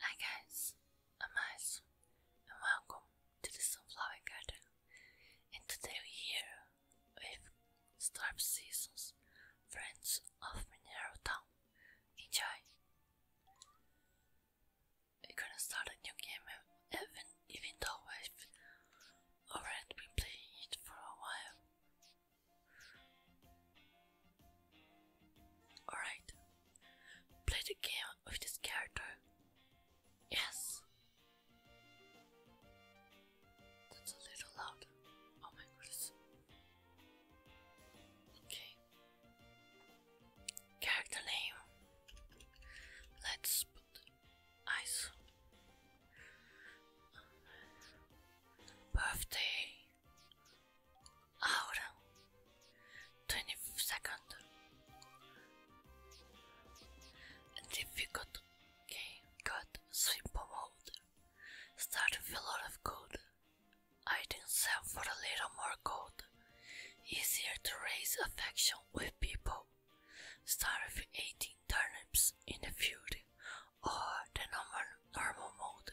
Hi guys, I'm Ice and welcome to the Sunflower Garden and today we're here with Starp Seasons, Friends of Minero Town. Enjoy! We're gonna start a new game even, even though we've already been playing it for a while. Alright. Play the game with this character. Yes. That's a little loud. Oh my goodness. Okay. Character name. Let's put ice. Birthday. Ahora, 20 second difficult game got simple mode. Start with a lot of gold. Item sell for a little more gold. Easier to raise affection with people. Start with 18 turnips in the field or the normal, normal mode.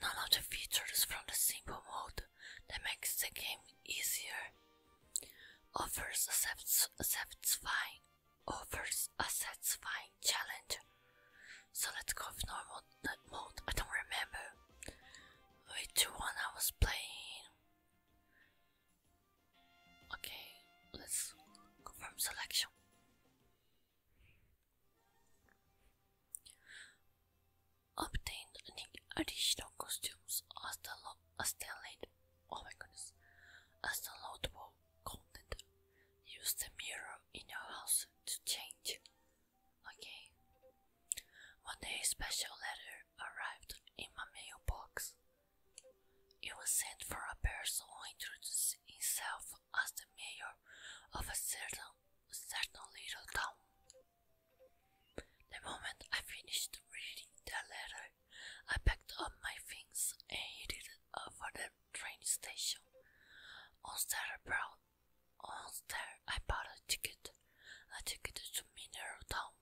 None of the features from the simple mode that makes the game easier offers a satisfying, offers a satisfying challenge. So let's go with normal mode. I don't remember which one I was playing. Okay, let's confirm selection. Obtain any additional costumes as the as the late oh my goodness as downloadable content. Use the mirror in your house to change. Okay. One day a special letter arrived in my mailbox. It was sent for a person who introduced himself as the mayor of a certain, certain little town. The moment I finished reading the letter, I packed up my things and headed for the train station. On there, brought, on there I bought a ticket, a ticket to Mineral Town,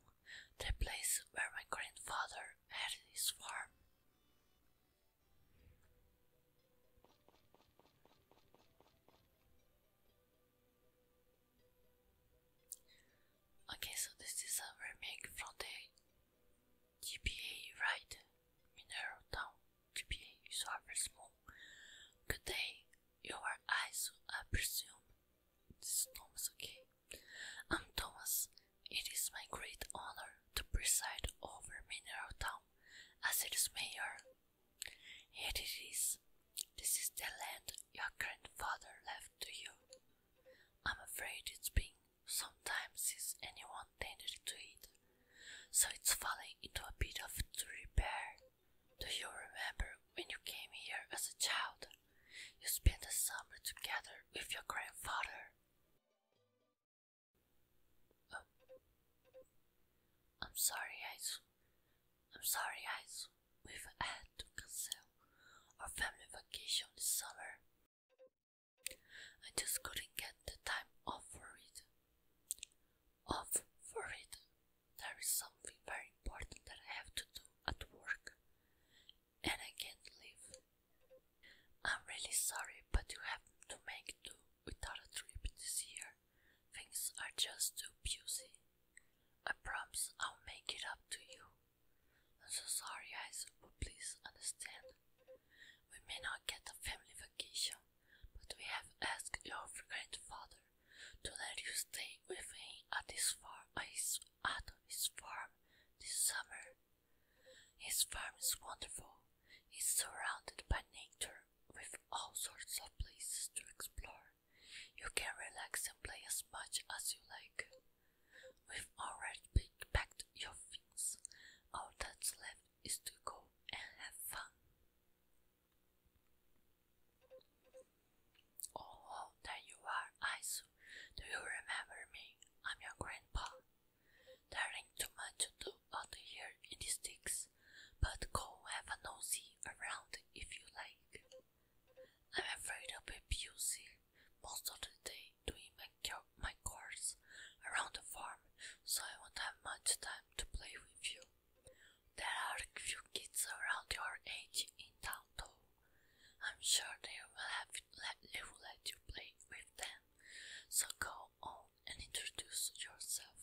the place where my grandfather had his farm. Okay, so this is our remake from the GPA, right? Mineral Town GBA is rather small. Good day, your eyes, ISO, I presume. This is Thomas, okay? I'm Thomas. It is my great honor to preside over Mineral Town as its mayor. Here it is. This is the land your grandfather left to you. I'm afraid it's been some time since anyone tended to it, so it's falling into a bit of disrepair. Do you remember when you came here as a child? You spent the summer together with your grandfather. Oh. I'm sorry, guys. I'm sorry, guys. We've had to cancel our family vacation this summer. I just couldn't get the time off for it. Off for it. There is something very important that I have to do at work, and I can't leave. I'm really sorry, but you have to make do without a trip this year. Things are just too busy. I promise I'll make it up to you. I'm so sorry, guys, but please understand. We may not get a family vacation, but we have asked your grandfather to let you stay with him at his farm, at his farm this summer. His farm is wonderful. He's surrounded by nature with all sorts of places to explore. You can relax and play as much as you like. We've already packed your things. All that's left is to go and have fun. Oh, there you are, Aizu. Do you remember me? I'm your grandpa. There ain't too much to do out here in the sticks, but go have a nosy around if you like. I'm afraid I'll be busy most of the day doing my, chores around the farm, so I won't have much time to play with you. There are a few kids around your age in town, though. I'm sure they will, have, they will let you play with them, so go go and introduce yourself.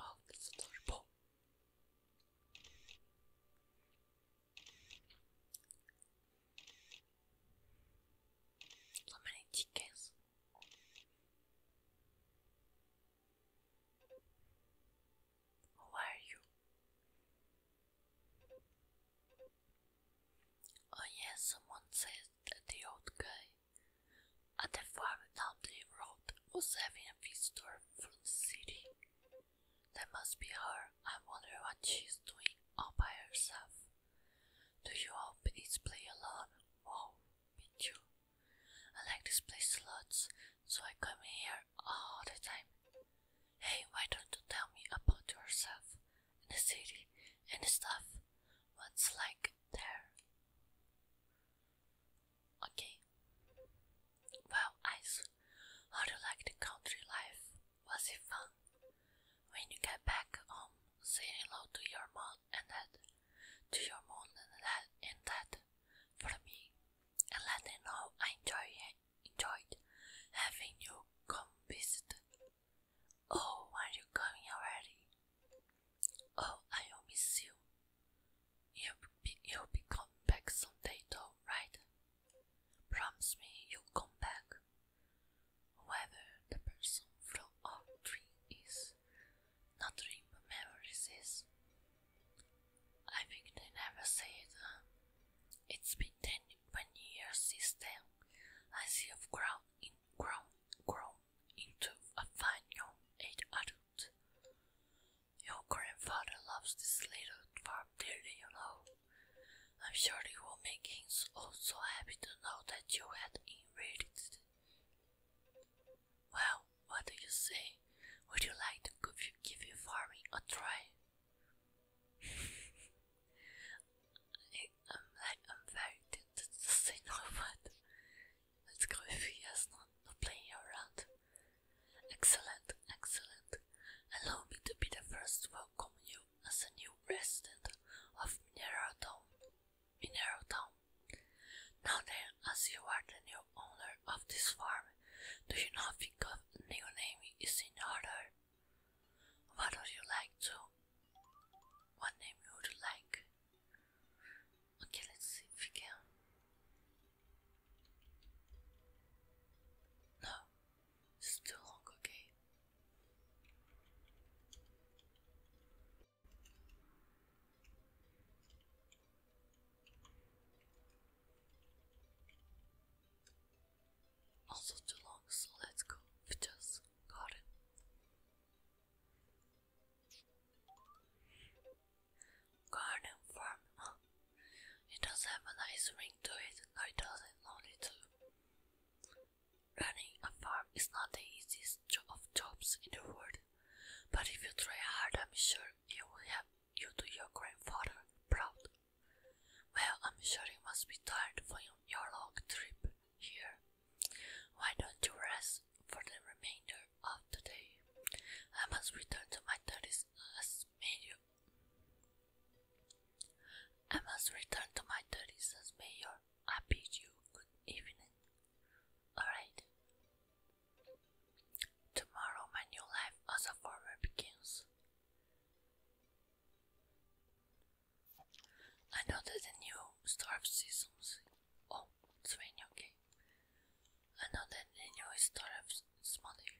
Oh, that's adorable. So many chickens. Who are you? Oh, yes, someone said that the old guy at the farm down the road was having a visitor from the city. That must be her. I wonder what she's doing all by herself. Do you hope play alone? Wow, me too. I like this place lots, so I come here all the time. Hey, why don't you tell me about yourself and the city and the stuff? What's like there? Okay. Well, Ice, how do you like the country life? Was it fun? When you get back home, say hello to your mom and dad. To your mom and dad and dad. For me, and let me know I enjoy, enjoyed having you come visit. Oh, are you coming already? Oh, I'll miss you. You'll be, you'll be coming back someday though, right? Promise me you'll come back. Whoever the person from our dream is, not dream memories is, I think they never said. it's been 10, 20 years since then. I see I've grown, grown, grown into a fine young age adult. Your grandfather loves this little farm dearly, you know. I'm sure it will make him so happy to know that you had inherited it. Well, what do you say? Would you like to give your farming a try? I'm I'm very tempted to say no, but let's go if he not, not playing around. Excellent, excellent. Allow me to be the first to welcome you as a new resident of Minero Town. Minero Town. Now then, as you are the new owner of this farm, do you not think of new name is in order? What would you like to? What name would you like? Okay, let's see if we can. No, it's too okay. Also too long, so let's go. just got Garden farm, It does have a nice ring to it. No, it doesn't. Only two. Running a farm is not the easiest job of jobs in the world, but if you try hard, I'm sure you will have you do your grandfather proud. Well, I'm sure you must be tired from your long trip here. Why don't you rest for the remainder of the day? I must return to my duties as mayor. I must return to my studies as mayor. I bid you good evening. Alright, Tomorrow my new life as a farmer begins. I know that the new starve seasons. Oh, it's raining, okay. I know that the new starve is money.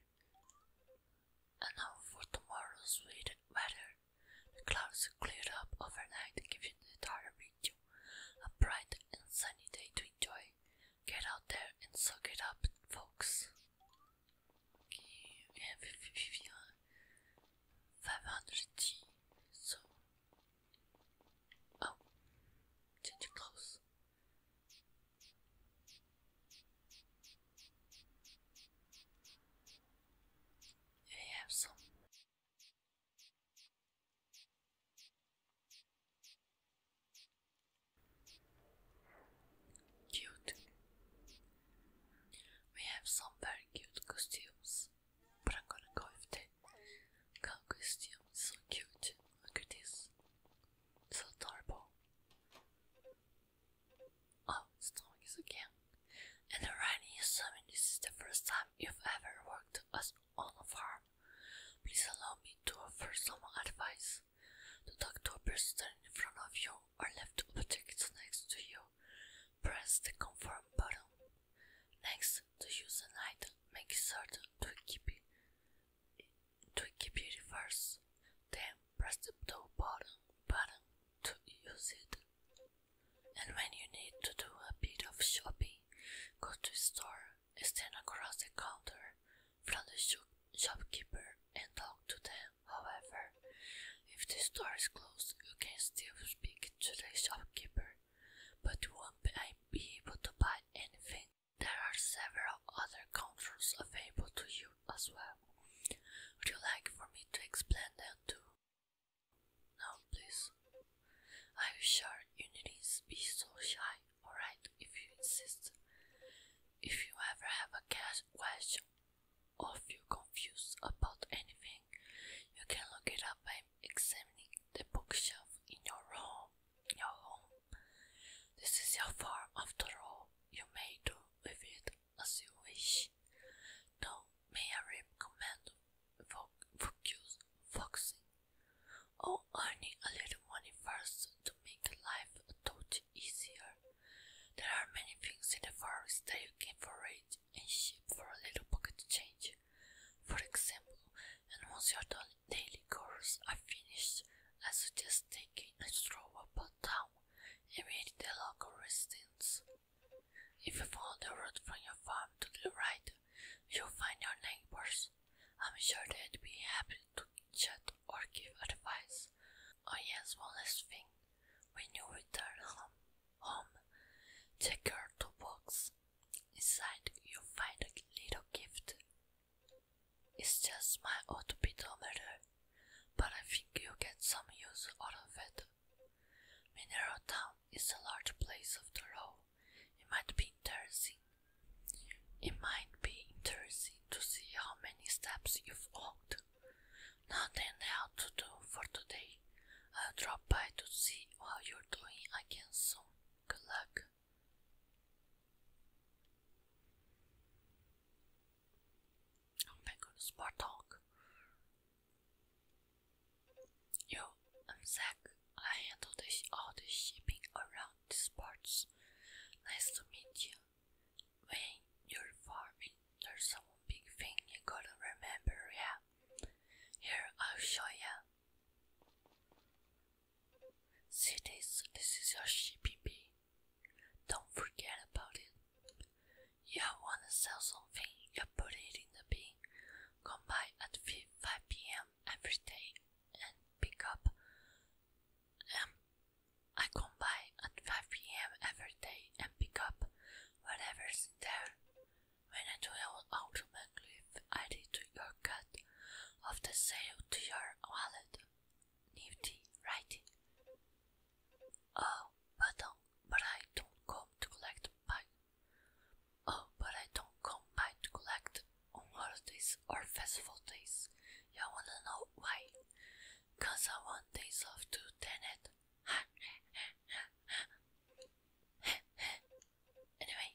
And now for tomorrow's weather. The clouds cleared up overnight, giving the entire region a bright and sunny day to enjoy. Get out there and suck it up, folks. Okay, 500T, uh, so. Oh, change your clothes. I have some Cute. We have some very cute costumes, but I'm gonna go with the cow costume. so cute. Look at this. So adorable. Oh, snowing is again. And the rainy assuming this is the first time you've ever worked as on a farm. Please allow me to offer some advice. To talk to a person in front of you or left object next to you. Press the confirm button. Next, to use an item, make sure to keep it to keep it first, Then press the blue button button to use it. And when you need to do a bit of shopping, go to store stand across the counter from the shopkeeper and talk to them. However, if the store is closed, you can still speak to the shopkeeper, but won't be able to buy anything. There are several other counters available to you as well. Would you like for me to explain them too? No, please. I'm sure you needn't be so shy, alright, if you insist. If you ever have a question or feel confused about anything, you can look it up by examining the bookshelf in your room. Your home. This is your farm, after all. You may do with it as you wish. Now, may I recommend focusing or earning a little money first to make life a touch easier. There are many things in the forest that you can forage and ship for a little pocket change. For example, and once your daily chores are finished, I suggest taking a stroll about town and meeting the local residents. If you follow the road from your farm to the right, you'll find your neighbors. I'm sure they'd be happy to chat or give advice. Oh yes, one last thing. When you return home, home check your toolbox. Inside you'll find a little gift. It's just my old pedometer, but I think you will get some use out of it. Mineral Town is a large place of the road. It might be interesting. It might be interesting to see how many steps you've walked. Nothing else to do for today. I'll drop by to see how you're doing again soon. Good luck. Oh my goodness, more talk. Yo, I'm Zach. I handle all the shipping around the sports. Nice to meet you. When you're farming, there's some big thing you gotta remember, yeah? Here, I'll show ya. See this? This is your shipping bee. Don't forget about it. You wanna sell something, you put it in the bin. Come by at 5 p.m. every day and pick up. Um, I come by at 5 p.m. every day and pick up whatever's there. When I do, I will automatically add it to your cut of the sale to your wallet. Nifty, right? Oh, but, um, but I don't come to collect Oh, but I don't come by to collect on holidays or festival days. You all wanna know why? Cause I want days off to turn it. anyway,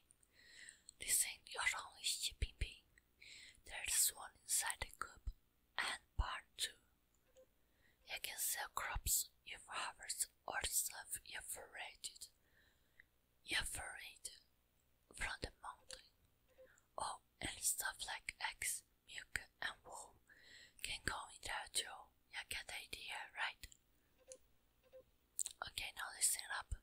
this ain't your only shipping being. There's one inside the coop and part two. You can sell crops if have harvested or self-evaporated evaporated from the mountain. Oh, and stuff like eggs, milk, and wool can go into there too. You get idea, right? Okay, now listen up.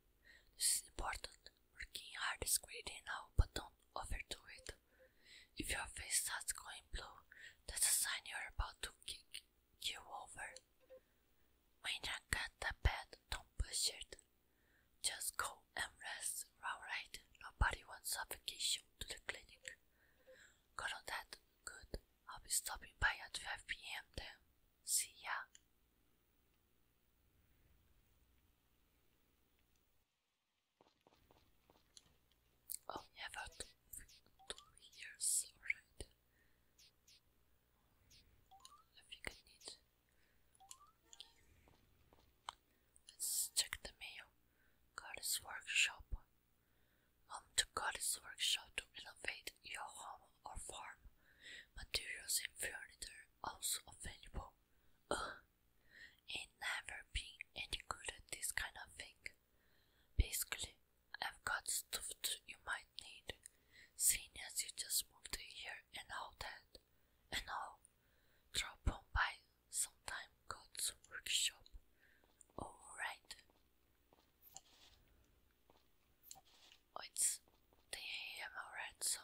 This is important. Working hard is greedy now, but don't overdo it. If your face starts going blue, that's a sign you're about to kick you over. When you get the bed, don't push it. Just go and rest, alright? Nobody wants suffocation to the clinic. Got on that? Good. I'll be stopping by at 5 pm then. See ya. Oh, never two, two years already. I think need. Let's check the mail. God's workshop. Come um, to God's workshop to renovate your home or farm. Materials and furniture also available. Uh, it never been any good at this kind of thing. Basically, I've got stuff you might need, seeing as you just moved here and all that. And I'll drop on by sometime God's workshop. Alright. Oh, it's 10 am alright, so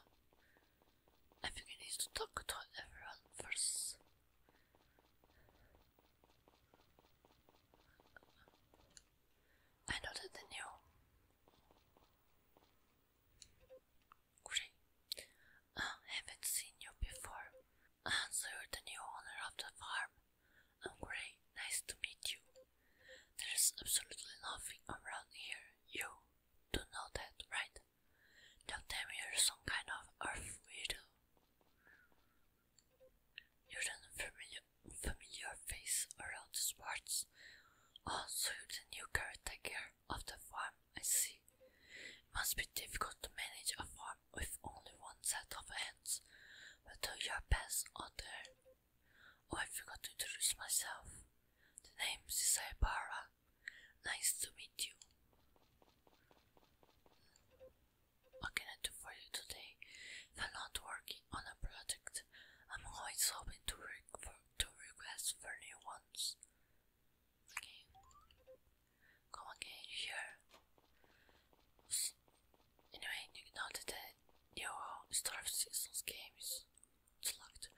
I think I need to talk to everyone first. I nodded anew. Grey, haven't seen you before, and uh, the new owner of the farm. I'm oh, Grey, nice to meet you. There's absolutely nothing around here, you do know that, right? Don't tell me you're some kind of earth widow. You're an unfamiliar, face around the parts. Oh, so you're the new caretaker of the farm, I see. must be difficult to manage a farm with only one set of hands, but do your best out there. Oh, I forgot to introduce myself. The name is Saibara. Nice to meet you. What can I do for you today? I'm not working on a project. I'm always hoping to to request for new ones. Okay. Come again here. Anyway, you noted that uh, your Star of Seasons games select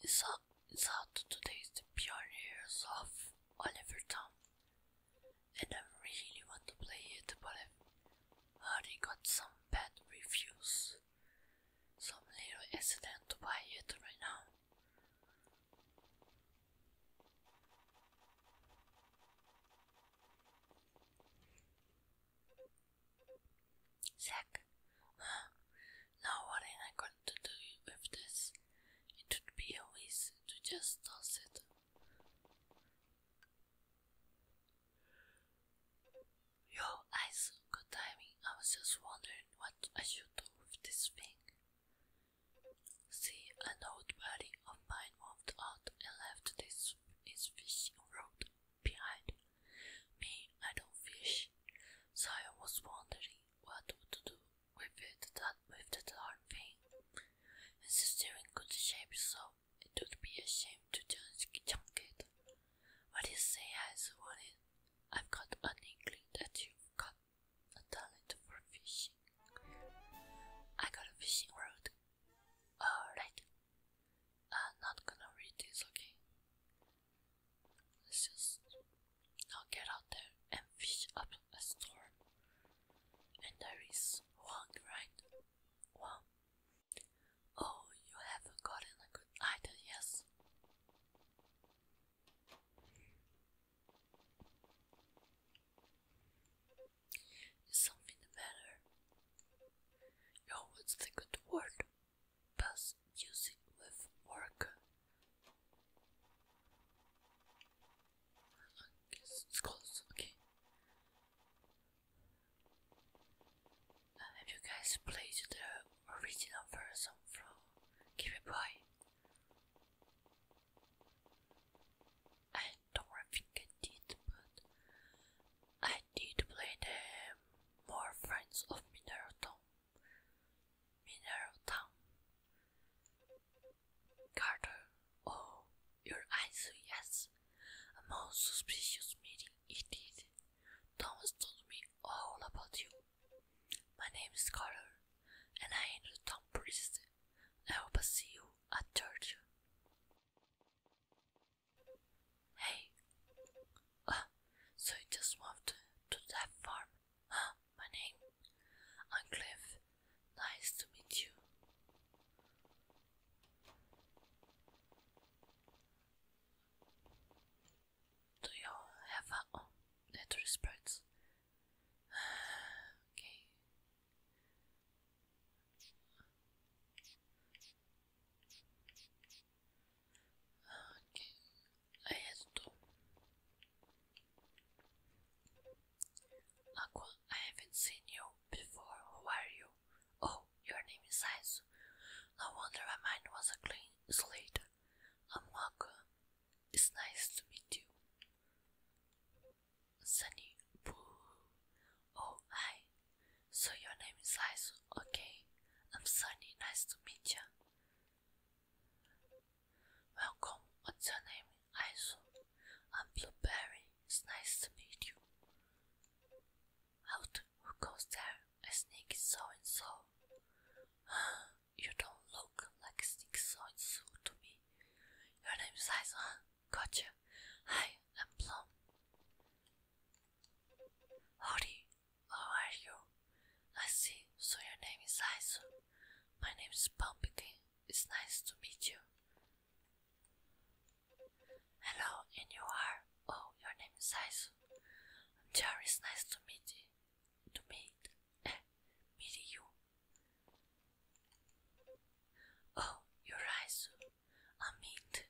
is out, is out today's the pioneers of Oliver Tom and I really want to play it, but I've already got some bad reviews, Some little hesitant to buy it right now. Zack, now what am I going to do with this? It would be a waste to just toss it. Your eyes, good timing. I was just wondering what I should do with this thing. See, an old buddy of mine moved out and left this fishing rod behind. Me, I don't fish, so I was wondering what to do with it man with the dark thing. His still in good shape, so it would be a shame to junk it. What you say has won I've got an inkling that you've got a talent for fishing. I got a fishing rod. Alright. I'm not gonna read this, okay? Let's just now get out there and fish up a storm, and there is one, right? One. Oh, you have not gotten a good idea, yes? something the Oh, what's the good word? Pass use it with work. It's, okay. have you guys played the original version from Game Boy? I don't think did, but I did play the more Friends of Mineral Town. Mineral Town. Carter, oh, your eyes, yes. A most suspicious meeting it is. Thomas told me all about you. My name is Carter, and I am a town priest. I hope I see you at church. Hey, uh, so you just moved to that farm, huh? My name, i Nice to meet you. Do you have a oh, little sprites? okay. Okay, I had to. Aqua, I haven't seen you before. Who are you? Oh, your name is Aizu. No wonder my mind was a clean slate. I'm um, Aqua. It's nice to meet you. Sunny. Oh, hi. So your name is Aizu. Okay. I'm um, Sunny. Nice to meet you. Welcome. What's your name? Iso. I'm Blueberry. It's nice to meet you. Out. Who goes there? A sneaky so and so. you don't look like a sneaky so and so to me. Your name is Iso, huh? Gotcha. Hi, I'm Plum. Howdy. How are you? I see. So your name is Iso. My name is Pumpkin. It's nice to meet you. Hello, and you are? Oh, your name is Aizu. I'm Jar, nice to meet To meet, meet you. Oh, you're Aizu. i Meet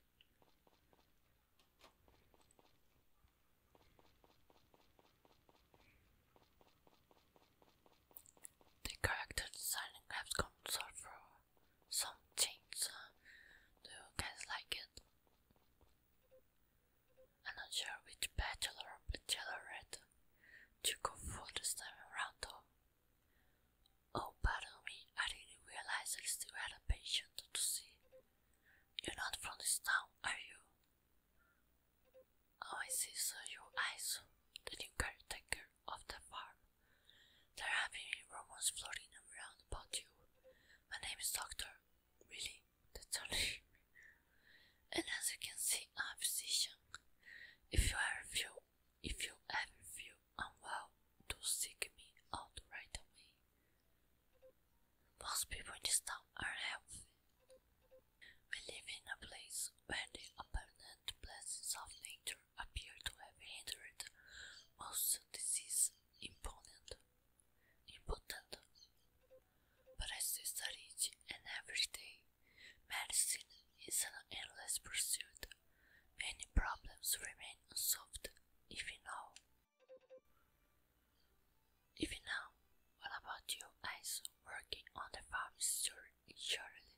the character design grabs console for some change. Uh, do you guys like it? I'm not sure which bachelor or bachelorette to go for this time around Oh, pardon me, I didn't realize I still had a patient to see. You're not from this town, are you? Oh, I see. So you Aizu, the new caretaker of the farm. There are many rumors floating around about you. My name is Doctor. Really? That's and as you can see, I'm a physician. If you ever feel, if you ever feel unwell, do seek me out right away. Most people in this town are healthy. We live in a place where the abundant blessings of nature appear to have hindered most diseases important, impotent. But I we study each and every day, medicine is an endless pursuit. Many problems remain unsolved even now. Even now, what about you, Also Working on the farm is surely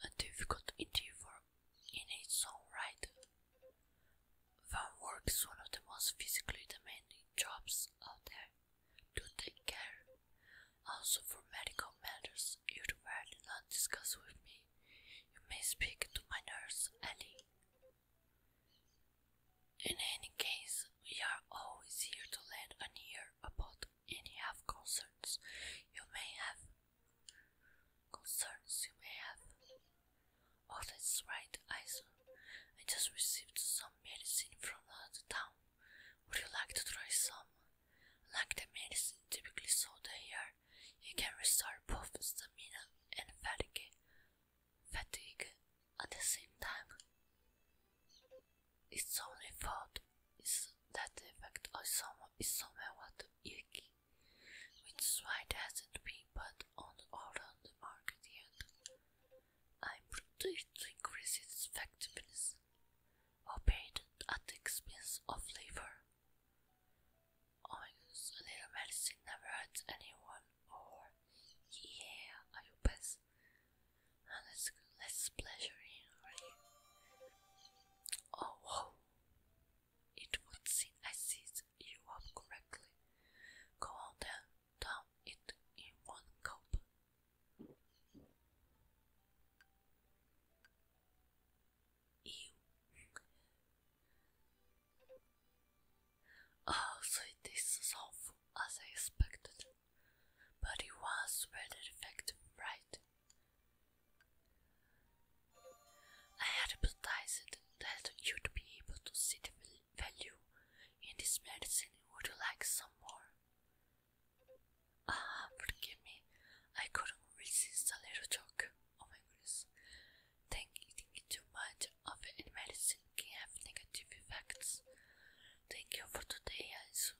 a difficult endeavor in its own right. Farm work is one of the most physically demanding jobs out there to take care. Also, for medical matters you'd rather not discuss with me, you may speak to my nurse, Ellie. In any case, we are always here to lend an ear about any have concerns you may have. Concerns you may have. Oh, that's right, Aizen. I just received some medicine from the town. Would you like to try some? Like the medicine typically sold here, you can restore both stamina and fatigue. Fatigue at the same time, its only fault is that the effect is somewhat icky, which is why it hasn't been put on on the market yet. I'm pretty to increase its effectiveness, albeit at the expense of flavor. Ominous little medicine never hurts anyone, or yeah, I will pass let's let's pleasure him Oh It would seem I seized you up correctly. Go on then, down it in one gulp. Oh, so it is as awful as I expected but it was rather effective, right? I had hypothesized that you'd be able to see the value in this medicine would you like some more? Ah, forgive me, I couldn't resist a little joke. Oh my goodness. Thank you, thank you too much of it in medicine can have negative effects. Thank you for today, Aizu.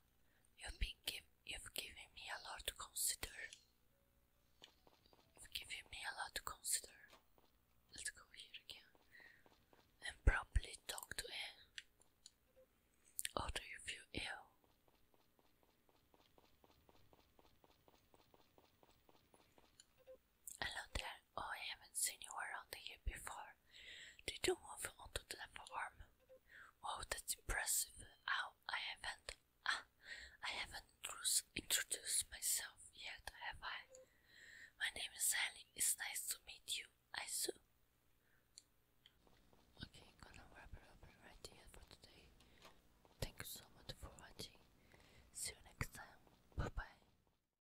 You've been giving me a lot to consider. You've given me a lot to consider. Let's go here again. And probably talk to him. Or do you feel Hello there. Oh, I haven't seen you around here before. Did you move onto the farm? Wow, oh, that's impressive. How I haven't. Ah, I haven't introduced myself yet, have I? My name is Sally. It's nice to meet you. I sue. Okay, gonna wrap it up here for today. Thank you so much for watching. See you next time. Bye bye.